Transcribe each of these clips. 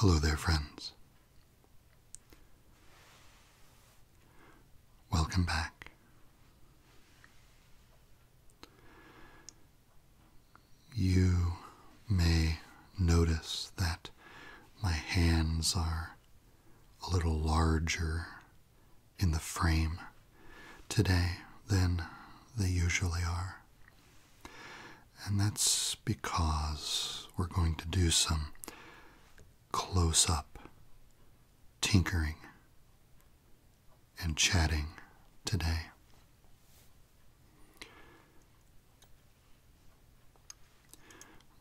Hello there, friends. Welcome back. You may notice that my hands are a little larger in the frame today than they usually are. And that's because we're going to do some close up, tinkering, and chatting today.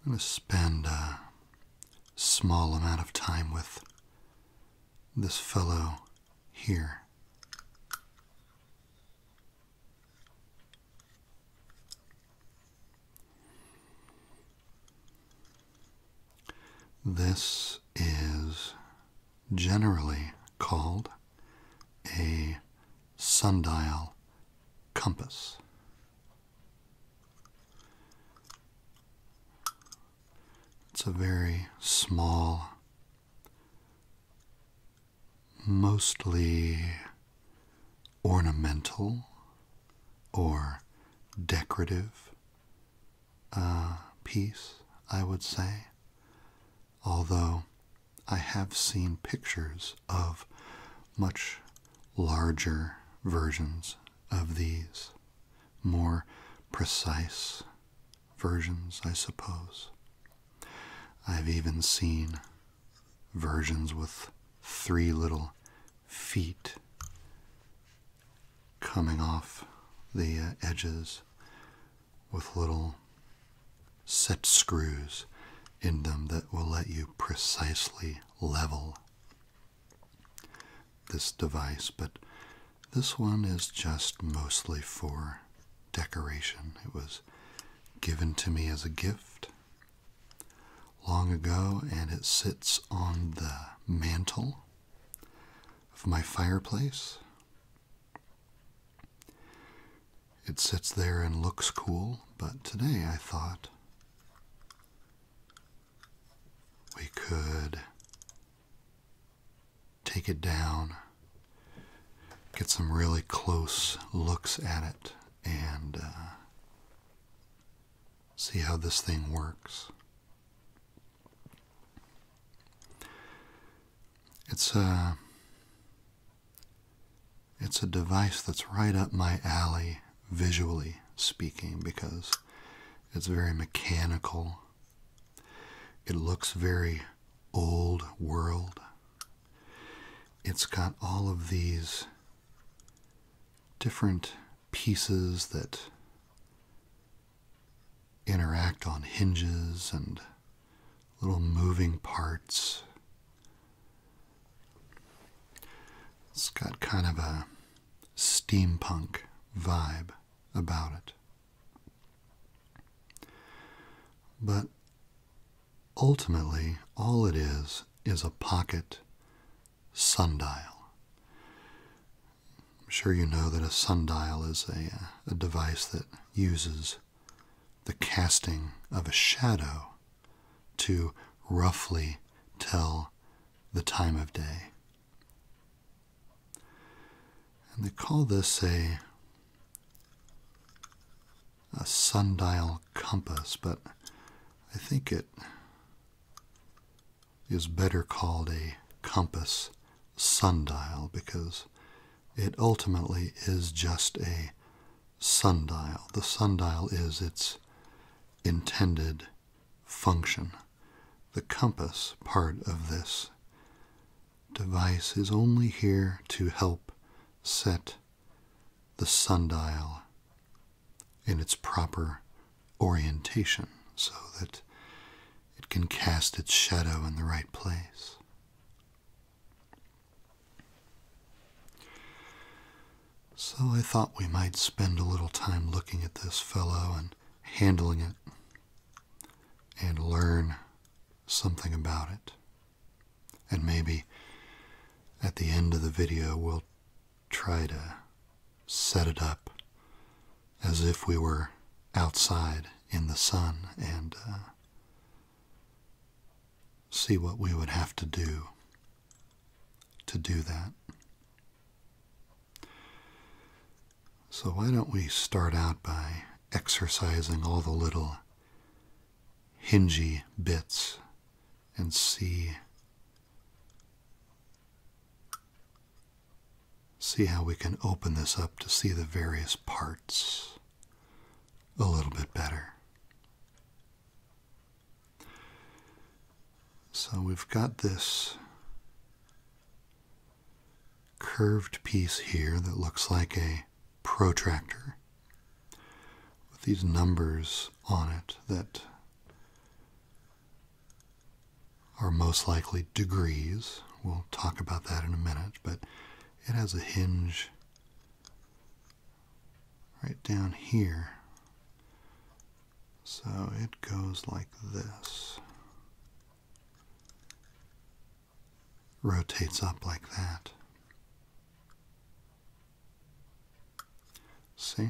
I'm going to spend a small amount of time with this fellow here. This is generally called a sundial compass. It's a very small, mostly ornamental or decorative uh, piece, I would say. Although I have seen pictures of much larger versions of these, more precise versions, I suppose. I've even seen versions with three little feet coming off the uh, edges with little set screws in them that will let you precisely level this device, but this one is just mostly for decoration. It was given to me as a gift long ago, and it sits on the mantle of my fireplace. It sits there and looks cool, but today I thought we could take it down, get some really close looks at it, and uh, see how this thing works. It's a it's a device that's right up my alley visually speaking because it's very mechanical. It looks very old world. It's got all of these different pieces that interact on hinges and little moving parts. It's got kind of a steampunk vibe about it. But ultimately, all it is is a pocket sundial. I'm sure you know that a sundial is a, a device that uses the casting of a shadow to roughly tell the time of day. And they call this a, a sundial compass, but I think it is better called a compass sundial because it ultimately is just a sundial. The sundial is its intended function. The compass part of this device is only here to help set the sundial in its proper orientation so that it can cast its shadow in the right place. So I thought we might spend a little time looking at this fellow and handling it and learn something about it. And maybe at the end of the video, we'll try to set it up as if we were outside in the sun and uh, see what we would have to do to do that. So, why don't we start out by exercising all the little hingy bits and see See how we can open this up to see the various parts a little bit better. So we've got this curved piece here that looks like a protractor with these numbers on it that are most likely degrees. We'll talk about that in a minute, but it has a hinge right down here. So it goes like this. Rotates up like that. See?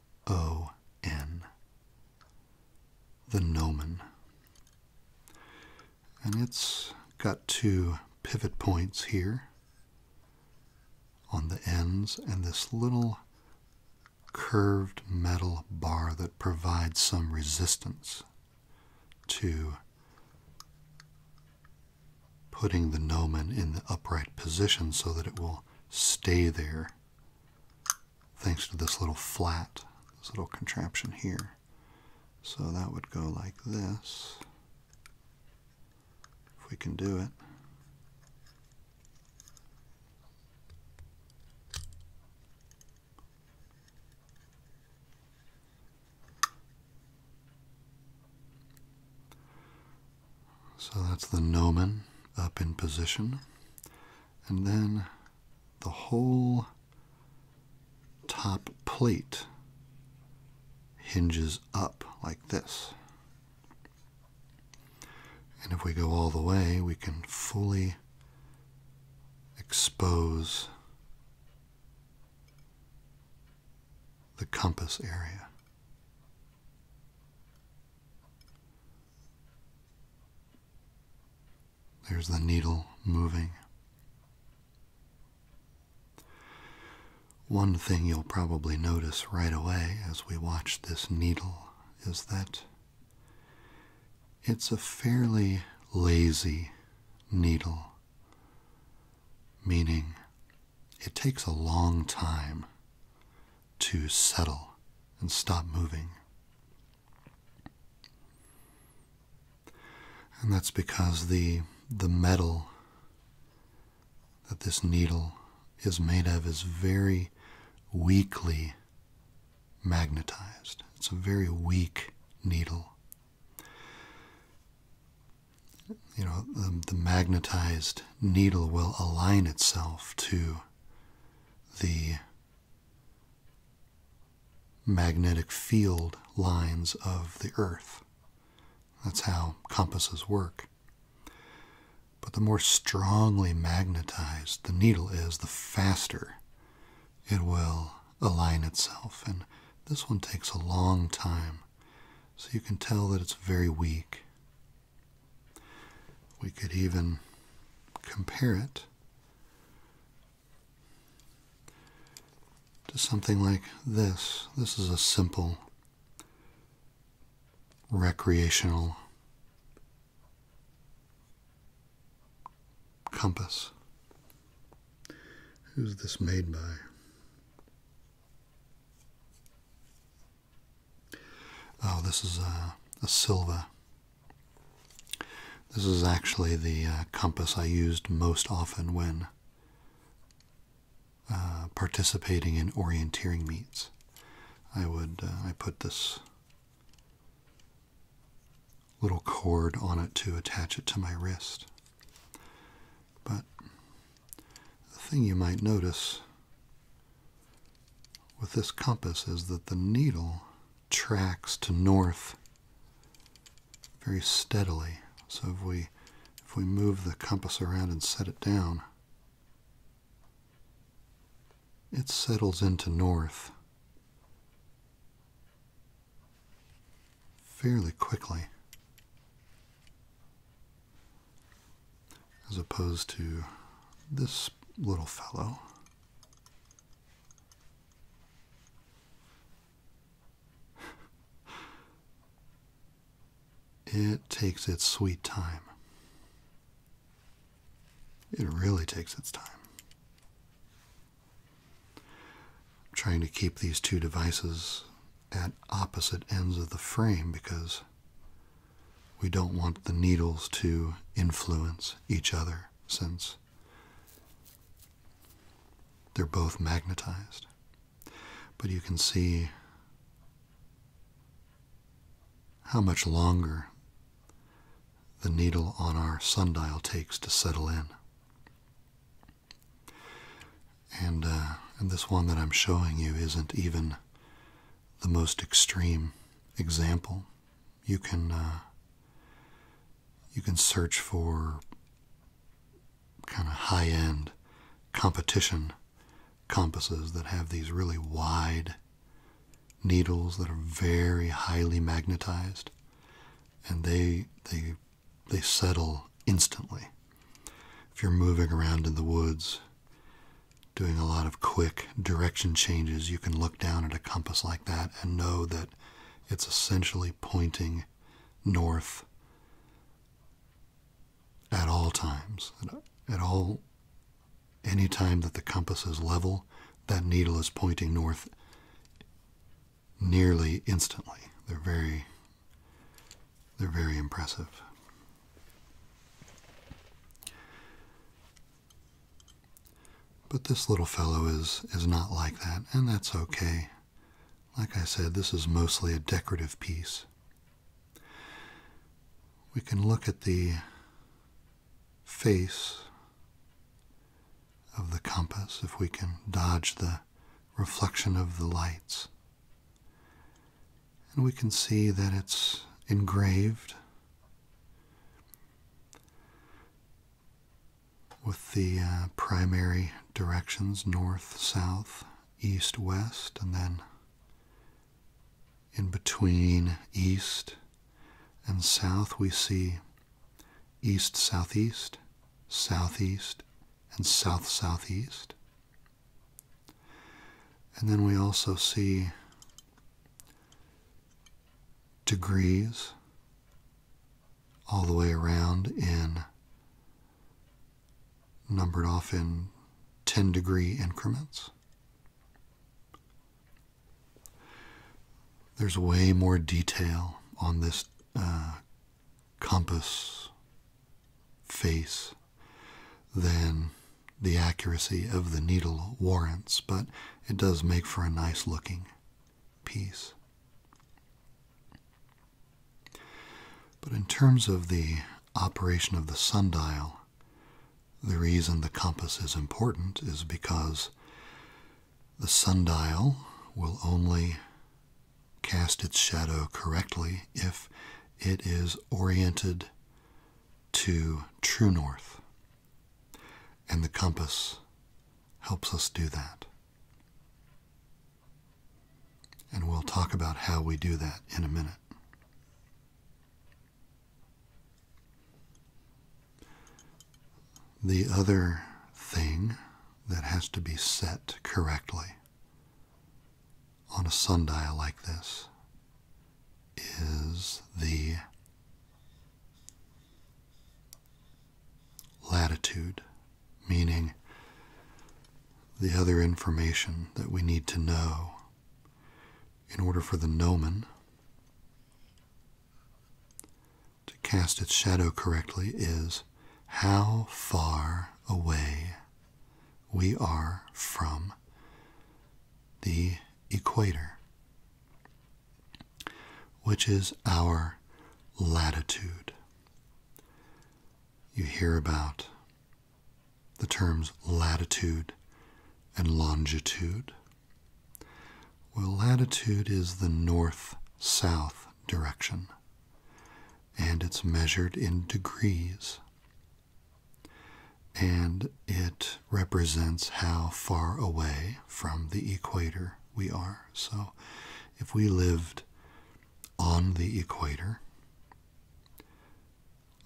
O N. The Gnomon. And it's got two pivot points here on the ends and this little curved metal bar that provides some resistance to putting the gnomon in the upright position so that it will stay there thanks to this little flat, this little contraption here. So that would go like this, if we can do it. So that's the gnomon up in position. And then the whole top plate hinges up like this. And if we go all the way, we can fully expose the compass area. There's the needle moving. One thing you'll probably notice right away as we watch this needle is that it's a fairly lazy needle, meaning it takes a long time to settle and stop moving. And that's because the, the metal that this needle is made of is very weakly magnetized. It's a very weak needle you know, the, the magnetized needle will align itself to the magnetic field lines of the earth. That's how compasses work. But the more strongly magnetized the needle is, the faster it will align itself. And this one takes a long time. So you can tell that it's very weak. We could even compare it to something like this. This is a simple recreational compass. Who's this made by? Oh, this is a, a silver. This is actually the uh, compass I used most often when uh, participating in orienteering meets. I would uh, I put this little cord on it to attach it to my wrist. But the thing you might notice with this compass is that the needle tracks to north very steadily. So if we if we move the compass around and set it down, it settles into north fairly quickly as opposed to this little fellow. it takes its sweet time. It really takes its time. trying to keep these two devices at opposite ends of the frame because we don't want the needles to influence each other since they're both magnetized. But you can see how much longer the needle on our sundial takes to settle in. And, uh, and this one that I'm showing you isn't even the most extreme example. You can uh, you can search for kind of high-end competition compasses that have these really wide needles that are very highly magnetized, and they they they settle instantly. If you're moving around in the woods doing a lot of quick direction changes, you can look down at a compass like that and know that it's essentially pointing north at all times. At all, any time that the compass is level, that needle is pointing north nearly instantly. They're very they're very impressive. But this little fellow is, is not like that, and that's okay. Like I said, this is mostly a decorative piece. We can look at the face of the compass if we can dodge the reflection of the lights. And we can see that it's engraved with the uh, primary directions north, south, east, west, and then in between east and south, we see east, southeast, southeast, and south, southeast. And then we also see degrees all the way around in numbered off in 10 degree increments. There's way more detail on this uh, compass face than the accuracy of the needle warrants, but it does make for a nice looking piece. But in terms of the operation of the sundial, the reason the compass is important is because the sundial will only cast its shadow correctly if it is oriented to true north. And the compass helps us do that. And we'll talk about how we do that in a minute. The other thing that has to be set correctly on a sundial like this is the latitude, meaning the other information that we need to know in order for the gnomon to cast its shadow correctly is how far away we are from the equator, which is our latitude. You hear about the terms latitude and longitude. Well, latitude is the north south direction, and it's measured in degrees and it represents how far away from the equator we are. So if we lived on the equator,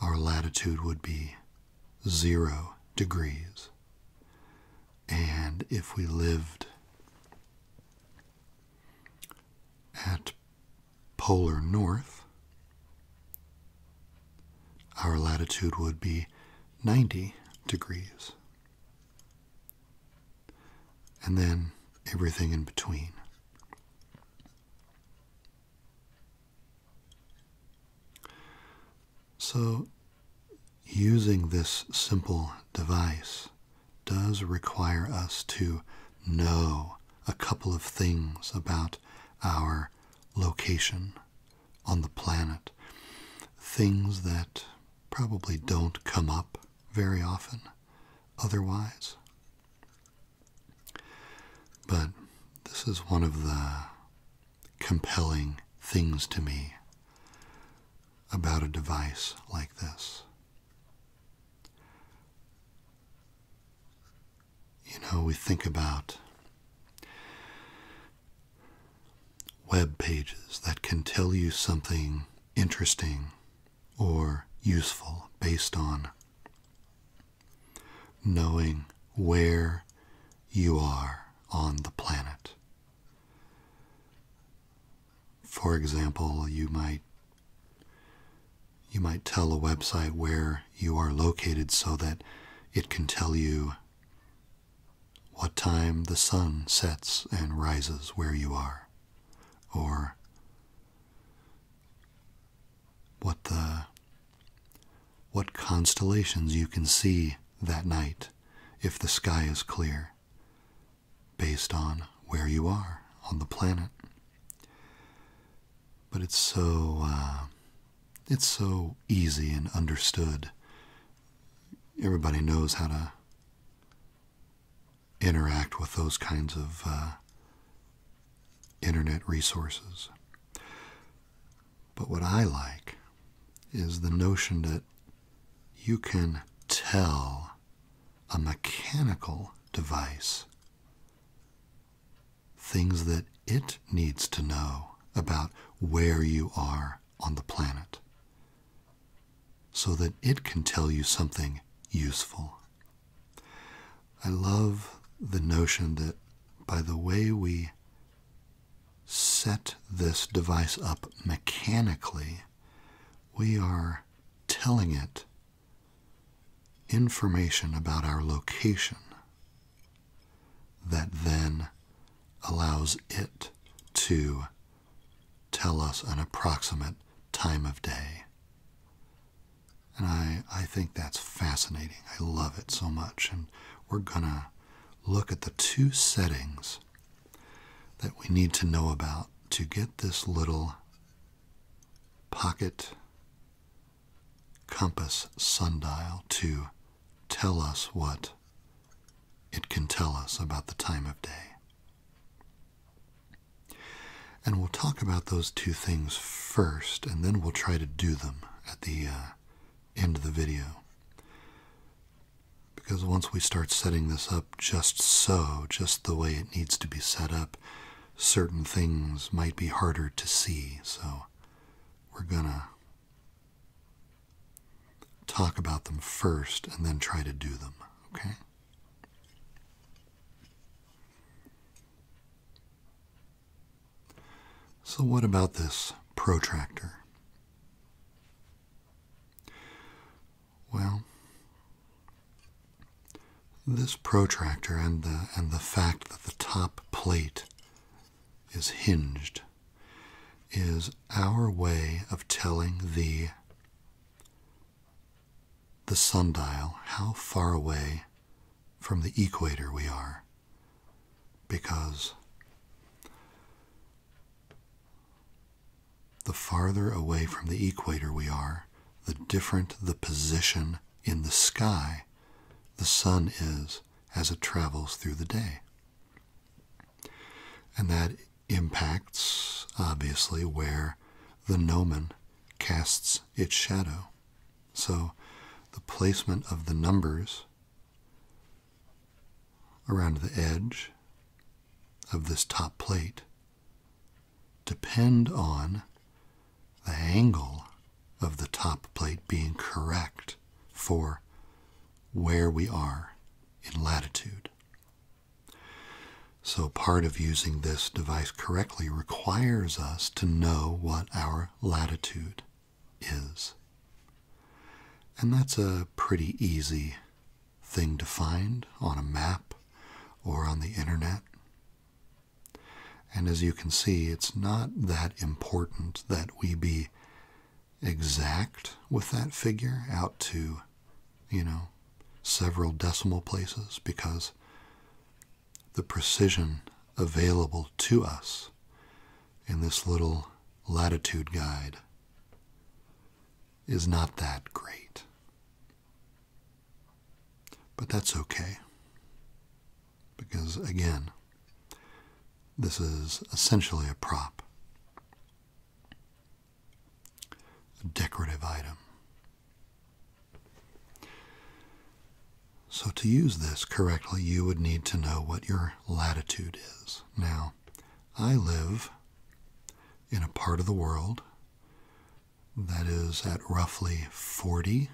our latitude would be zero degrees. And if we lived at polar north, our latitude would be 90 degrees. And then everything in between. So, using this simple device does require us to know a couple of things about our location on the planet, things that probably don't come up very often otherwise. But this is one of the compelling things to me about a device like this you know, we think about web pages that can tell you something interesting or useful based on knowing where you are on the planet. For example, you might you might tell a website where you are located so that it can tell you what time the sun sets and rises where you are, or what the what constellations you can see that night if the sky is clear based on where you are on the planet but it's so uh, it's so easy and understood. Everybody knows how to interact with those kinds of uh, internet resources. But what I like is the notion that you can tell a mechanical device things that it needs to know about where you are on the planet, so that it can tell you something useful. I love the notion that by the way we set this device up mechanically, we are telling it information about our location that then allows it to tell us an approximate time of day. And I, I think that's fascinating. I love it so much. And we're going to look at the two settings that we need to know about to get this little pocket compass sundial to tell us what it can tell us about the time of day. And we'll talk about those two things first, and then we'll try to do them at the uh, end of the video. Because once we start setting this up just so, just the way it needs to be set up, certain things might be harder to see. So we're going to talk about them first and then try to do them. Okay? So, what about this protractor? Well, this protractor and the, and the fact that the top plate is hinged is our way of telling the the sundial how far away from the equator we are because the farther away from the equator we are the different the position in the sky the sun is as it travels through the day. And that impacts, obviously, where the gnomon casts its shadow. So the placement of the numbers around the edge of this top plate depend on the angle of the top plate being correct for where we are in latitude. So, part of using this device correctly requires us to know what our latitude is. And that's a pretty easy thing to find on a map or on the internet. And as you can see, it's not that important that we be exact with that figure out to, you know, several decimal places because the precision available to us in this little latitude guide is not that great. But that's okay because, again, this is essentially a prop, a decorative item. So, to use this correctly, you would need to know what your latitude is. Now, I live in a part of the world that is at roughly 40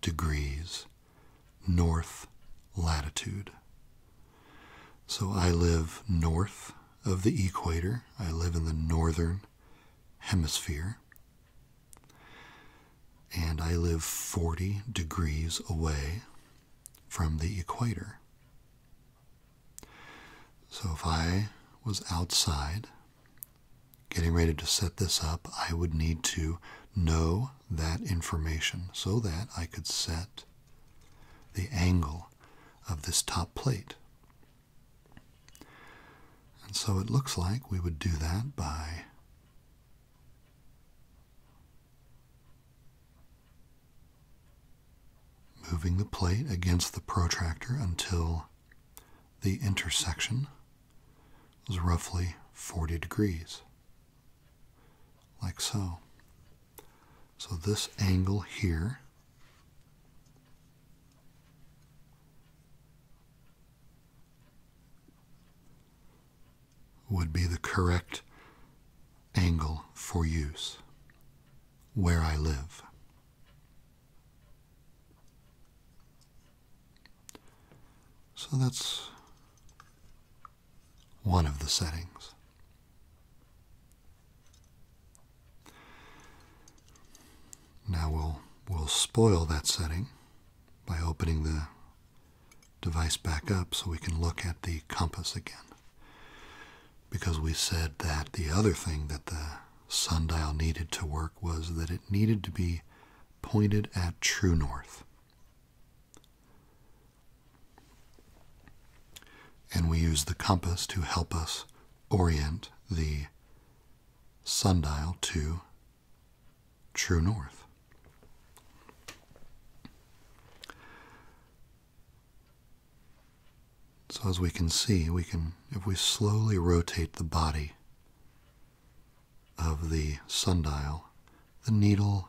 degrees north latitude. So I live north of the equator. I live in the northern hemisphere. And I live 40 degrees away from the equator. So if I was outside getting ready to set this up, I would need to know that information so that I could set the angle of this top plate. And so it looks like we would do that by moving the plate against the protractor until the intersection was roughly 40 degrees, like so. So this angle here would be the correct angle for use where I live. So that's one of the settings. Now we'll, we'll spoil that setting by opening the device back up so we can look at the compass again. Because we said that the other thing that the sundial needed to work was that it needed to be pointed at true north. And we use the compass to help us orient the sundial to true north. So, as we can see, we can, if we slowly rotate the body of the sundial, the needle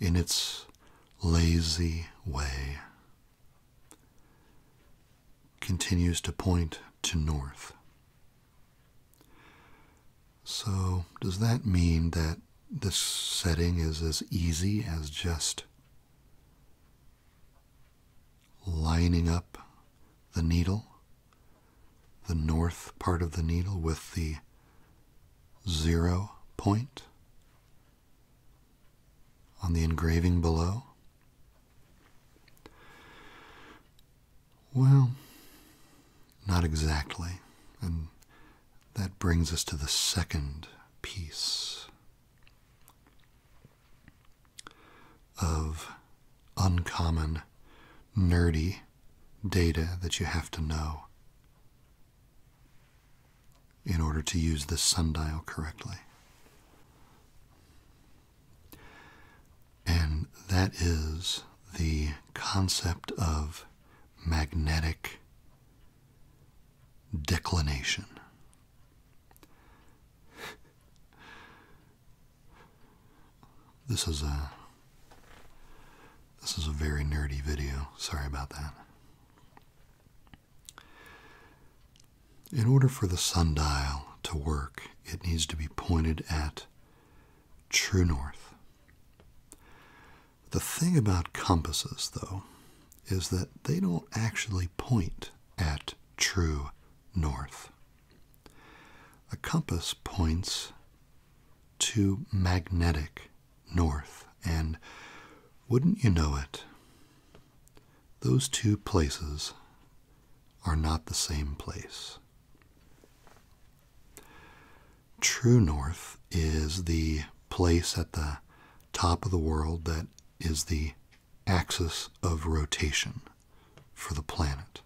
in its lazy way continues to point to north. So, does that mean that this setting is as easy as just lining up the needle the north part of the needle with the zero point on the engraving below? Well, not exactly. And that brings us to the second piece of uncommon, nerdy data that you have to know in order to use this sundial correctly. And that is the concept of magnetic declination. This is a this is a very nerdy video. Sorry about that. In order for the sundial to work, it needs to be pointed at true north. The thing about compasses, though, is that they don't actually point at true north. A compass points to magnetic north, and wouldn't you know it, those two places are not the same place. True north is the place at the top of the world that is the axis of rotation for the planet.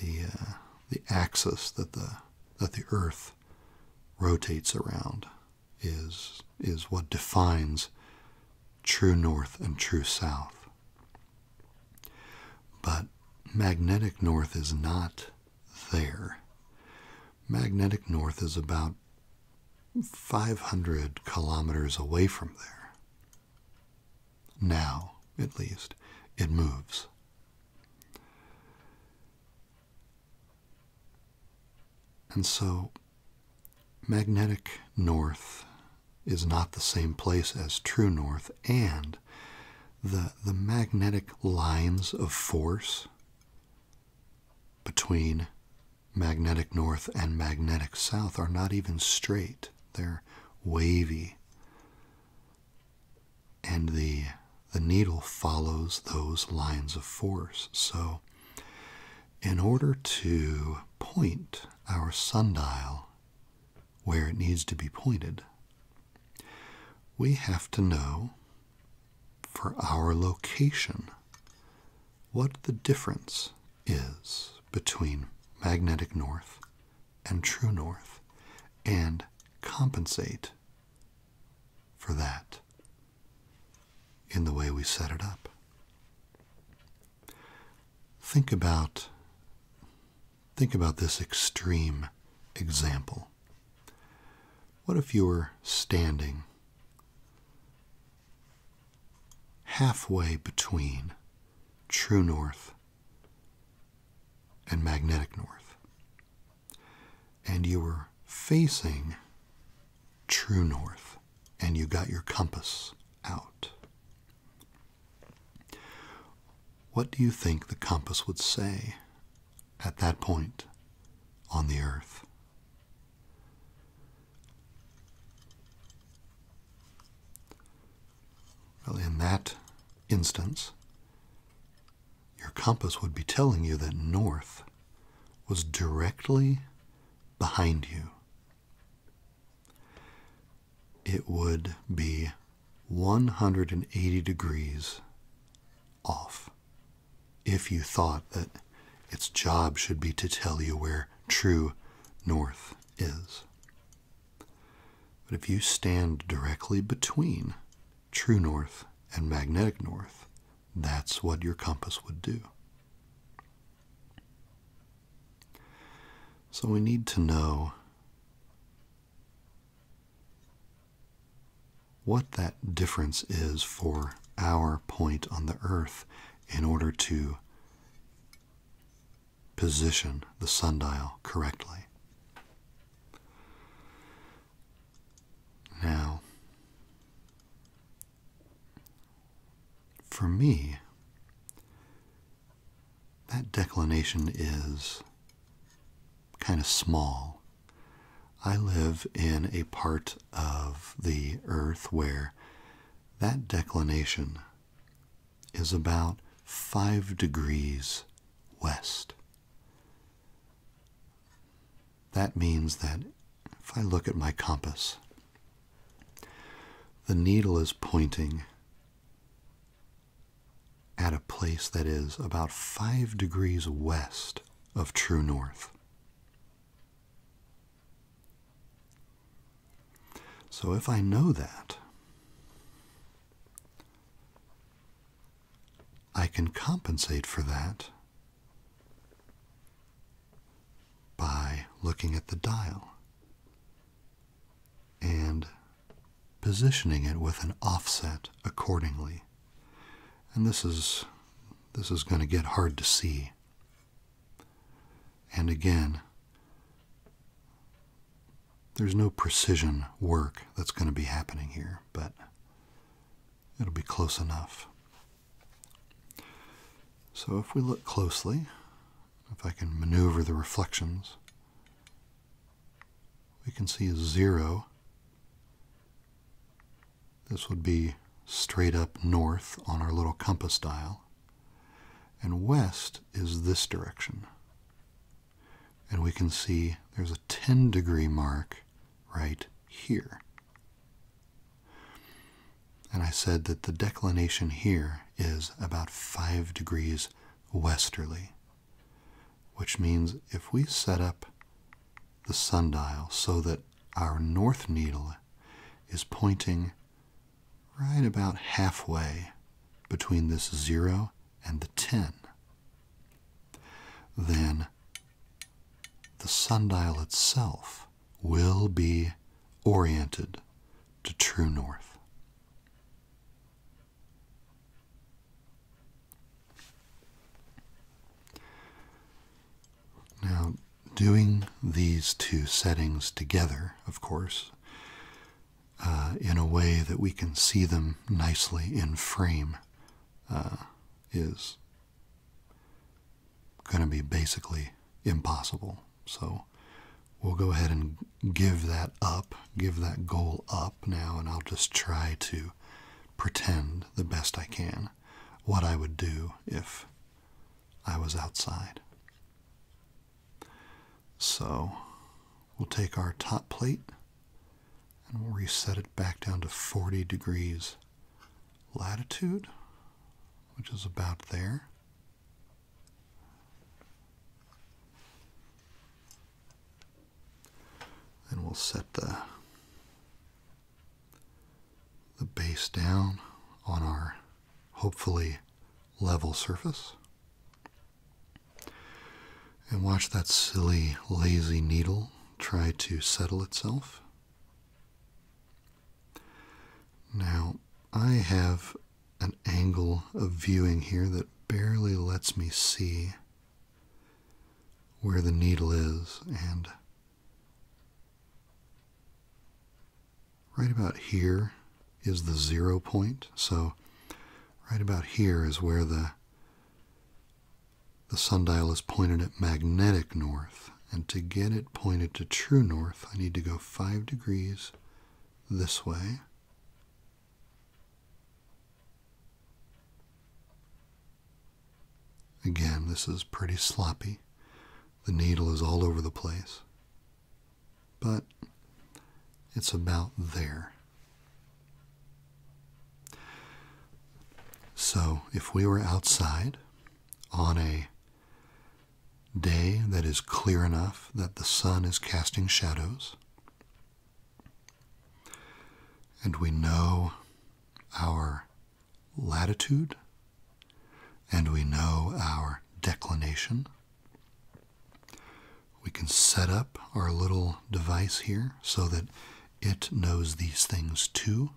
The, uh, the axis that the, that the Earth rotates around is, is what defines true north and true south. But magnetic north is not there. Magnetic north is about 500 kilometers away from there. Now, at least, it moves. And so, magnetic north is not the same place as true north, and the, the magnetic lines of force between magnetic north and magnetic south are not even straight. They're wavy. And the the needle follows those lines of force. So in order to point our sundial where it needs to be pointed, we have to know for our location what the difference is between magnetic north and true north and compensate for that in the way we set it up. Think about think about this extreme example. What if you were standing halfway between true north and magnetic north. And you were facing true north, and you got your compass out. What do you think the compass would say at that point on the earth? Well, in that instance, your compass would be telling you that north was directly behind you. It would be 180 degrees off if you thought that its job should be to tell you where true north is. But if you stand directly between true north and magnetic north, that's what your compass would do. So we need to know what that difference is for our point on the earth in order to position the sundial correctly. Now, for me, that declination is kind of small. I live in a part of the earth where that declination is about 5 degrees west. That means that if I look at my compass, the needle is pointing at a place that is about 5 degrees west of true north. So if I know that, I can compensate for that by looking at the dial and positioning it with an offset accordingly. And this is this is going to get hard to see. And again, there's no precision work that's going to be happening here, but it'll be close enough. So if we look closely, if I can maneuver the reflections, we can see a zero. This would be straight up north on our little compass dial. And west is this direction. And we can see there's a 10 degree mark right here. And I said that the declination here is about 5 degrees westerly, which means if we set up the sundial so that our north needle is pointing right about halfway between this 0 and the 10. Then the sundial itself will be oriented to true north. Now, doing these two settings together, of course, uh, in a way that we can see them nicely in frame uh, is going to be basically impossible. So we'll go ahead and give that up, give that goal up now, and I'll just try to pretend the best I can what I would do if I was outside. So we'll take our top plate and we'll reset it back down to 40 degrees latitude, which is about there. And we'll set the, the base down on our hopefully level surface. And watch that silly, lazy needle try to settle itself. Now, I have an angle of viewing here that barely lets me see where the needle is and right about here is the zero point. So right about here is where the sundial is pointed at magnetic north. And to get it pointed to true north, I need to go 5 degrees this way. Again, this is pretty sloppy. The needle is all over the place but it's about there. So, if we were outside on a day that is clear enough that the sun is casting shadows, and we know our latitude and we know our declination. We can set up our little device here so that it knows these things too.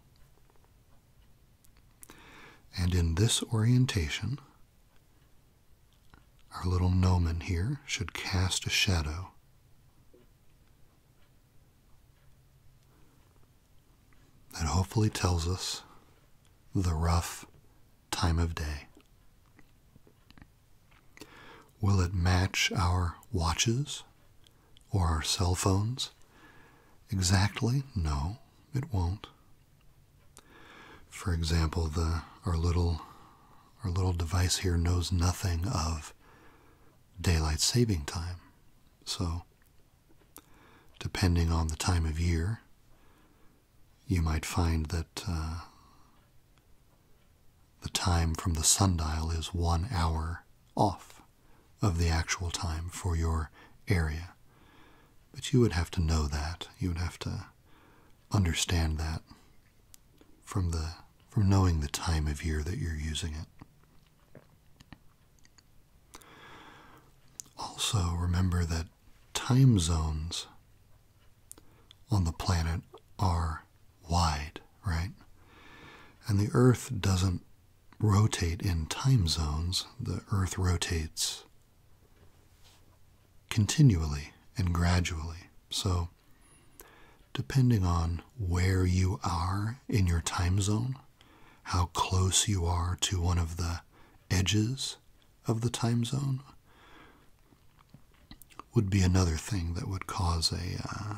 And in this orientation, our little gnomon here should cast a shadow. That hopefully tells us the rough time of day. Will it match our watches or our cell phones? Exactly? No, it won't. For example, the, our, little, our little device here knows nothing of daylight saving time. So, depending on the time of year, you might find that uh, the time from the sundial is one hour off of the actual time for your area. But you would have to know that. You would have to understand that from the from knowing the time of year that you're using it. Also, remember that time zones on the planet are wide, right? And the Earth doesn't rotate in time zones, the Earth rotates continually and gradually. So, depending on where you are in your time zone, how close you are to one of the edges of the time zone would be another thing that would cause a uh,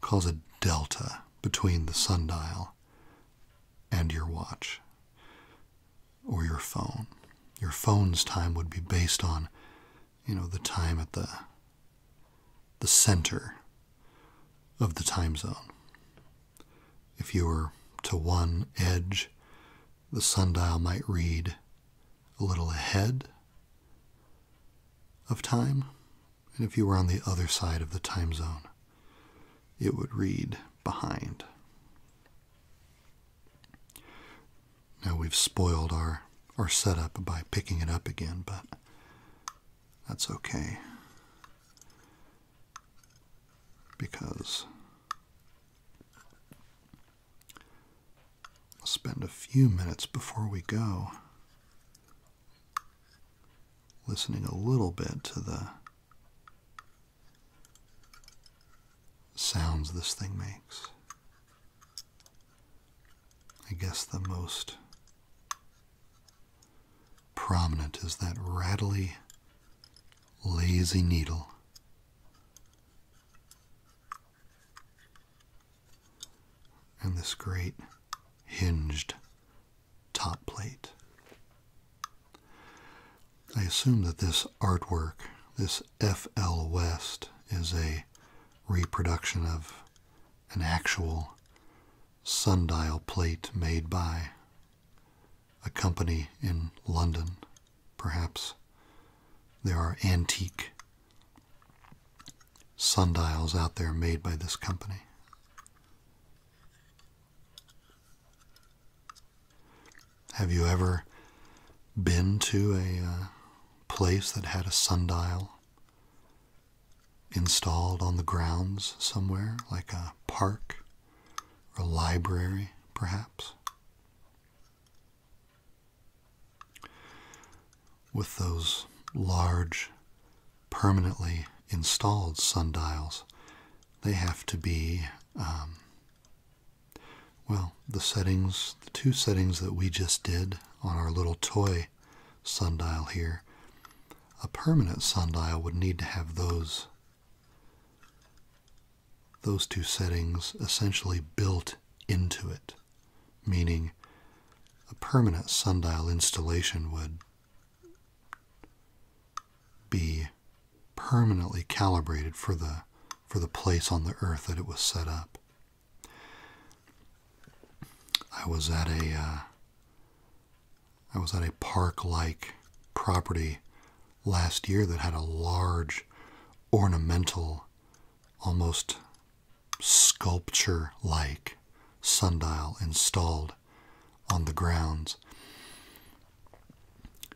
cause a delta between the sundial and your watch or your phone. Your phone's time would be based on, you know, the time at the the center of the time zone. If you were to one edge, the sundial might read a little ahead of time, and if you were on the other side of the time zone, it would read behind. Now we've spoiled our, our setup by picking it up again, but that's okay because I'll spend a few minutes before we go listening a little bit to the sounds this thing makes. I guess the most prominent is that rattly, lazy needle. And this great hinged top plate. I assume that this artwork, this F.L. West, is a reproduction of an actual sundial plate made by a company in London, perhaps. There are antique sundials out there made by this company. Have you ever been to a uh, place that had a sundial installed on the grounds somewhere, like a park or library, perhaps. With those large, permanently installed sundials, they have to be, um, well, the settings, the two settings that we just did on our little toy sundial here. A permanent sundial would need to have those those two settings essentially built into it, meaning a permanent sundial installation would be permanently calibrated for the for the place on the earth that it was set up. I was at a uh, I was at a park like property last year that had a large ornamental, almost sculpture like sundial installed on the grounds.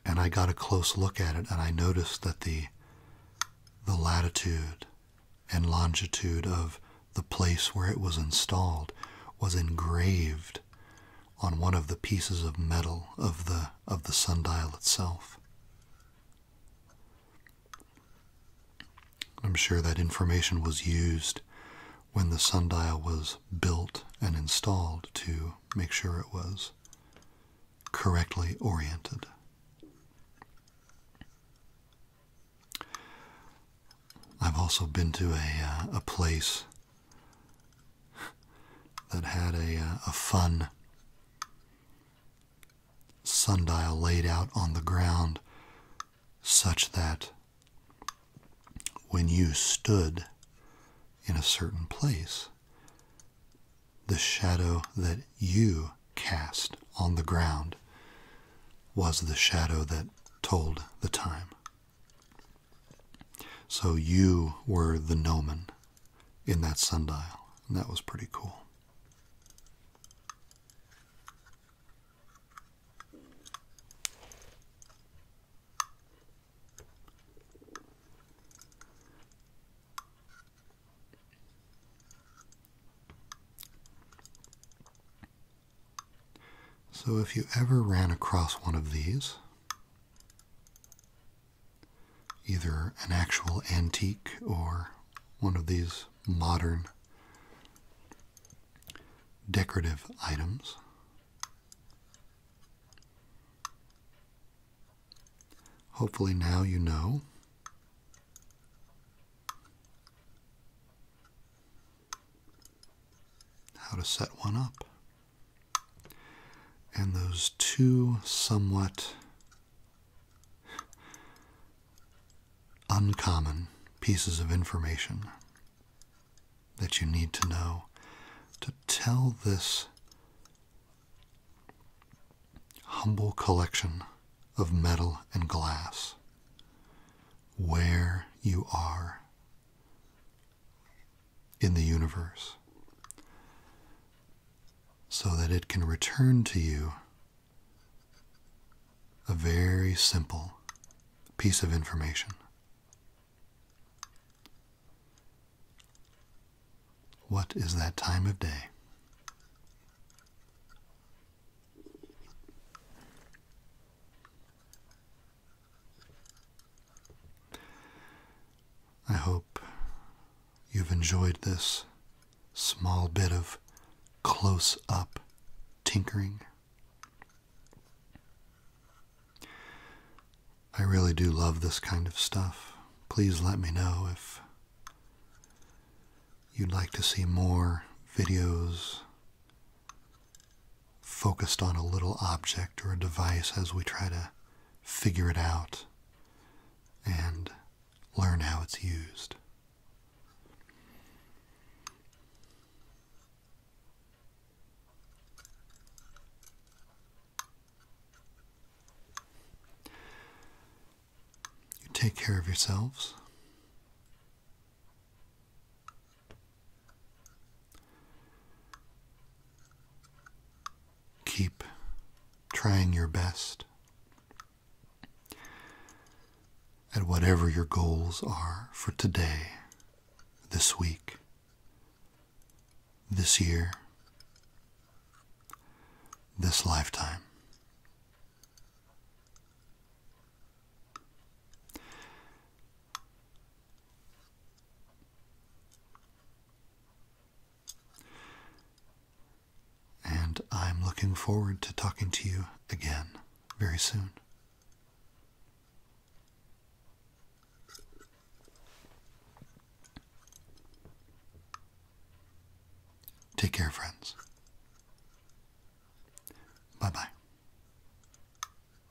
And I got a close look at it and I noticed that the the latitude and longitude of the place where it was installed was engraved on one of the pieces of metal of the of the sundial itself. I'm sure that information was used when the sundial was built and installed to make sure it was correctly oriented. I've also been to a, uh, a place that had a, uh, a fun sundial laid out on the ground such that when you stood in a certain place, the shadow that you cast on the ground was the shadow that told the time. So you were the gnomon in that sundial, and that was pretty cool. So if you ever ran across one of these, either an actual antique or one of these modern decorative items. Hopefully, now you know. How to set one up and those two somewhat uncommon pieces of information that you need to know to tell this humble collection of metal and glass where you are in the universe so that it can return to you a very simple piece of information. What is that time of day? I hope you've enjoyed this small bit of close up tinkering. I really do love this kind of stuff. Please let me know if you'd like to see more videos focused on a little object or a device as we try to figure it out and learn how it's used. You take care of yourselves. Keep trying your best at whatever your goals are for today, this week, this year, this lifetime. And I'm looking forward to talking to you again very soon. Take care, friends. Bye bye.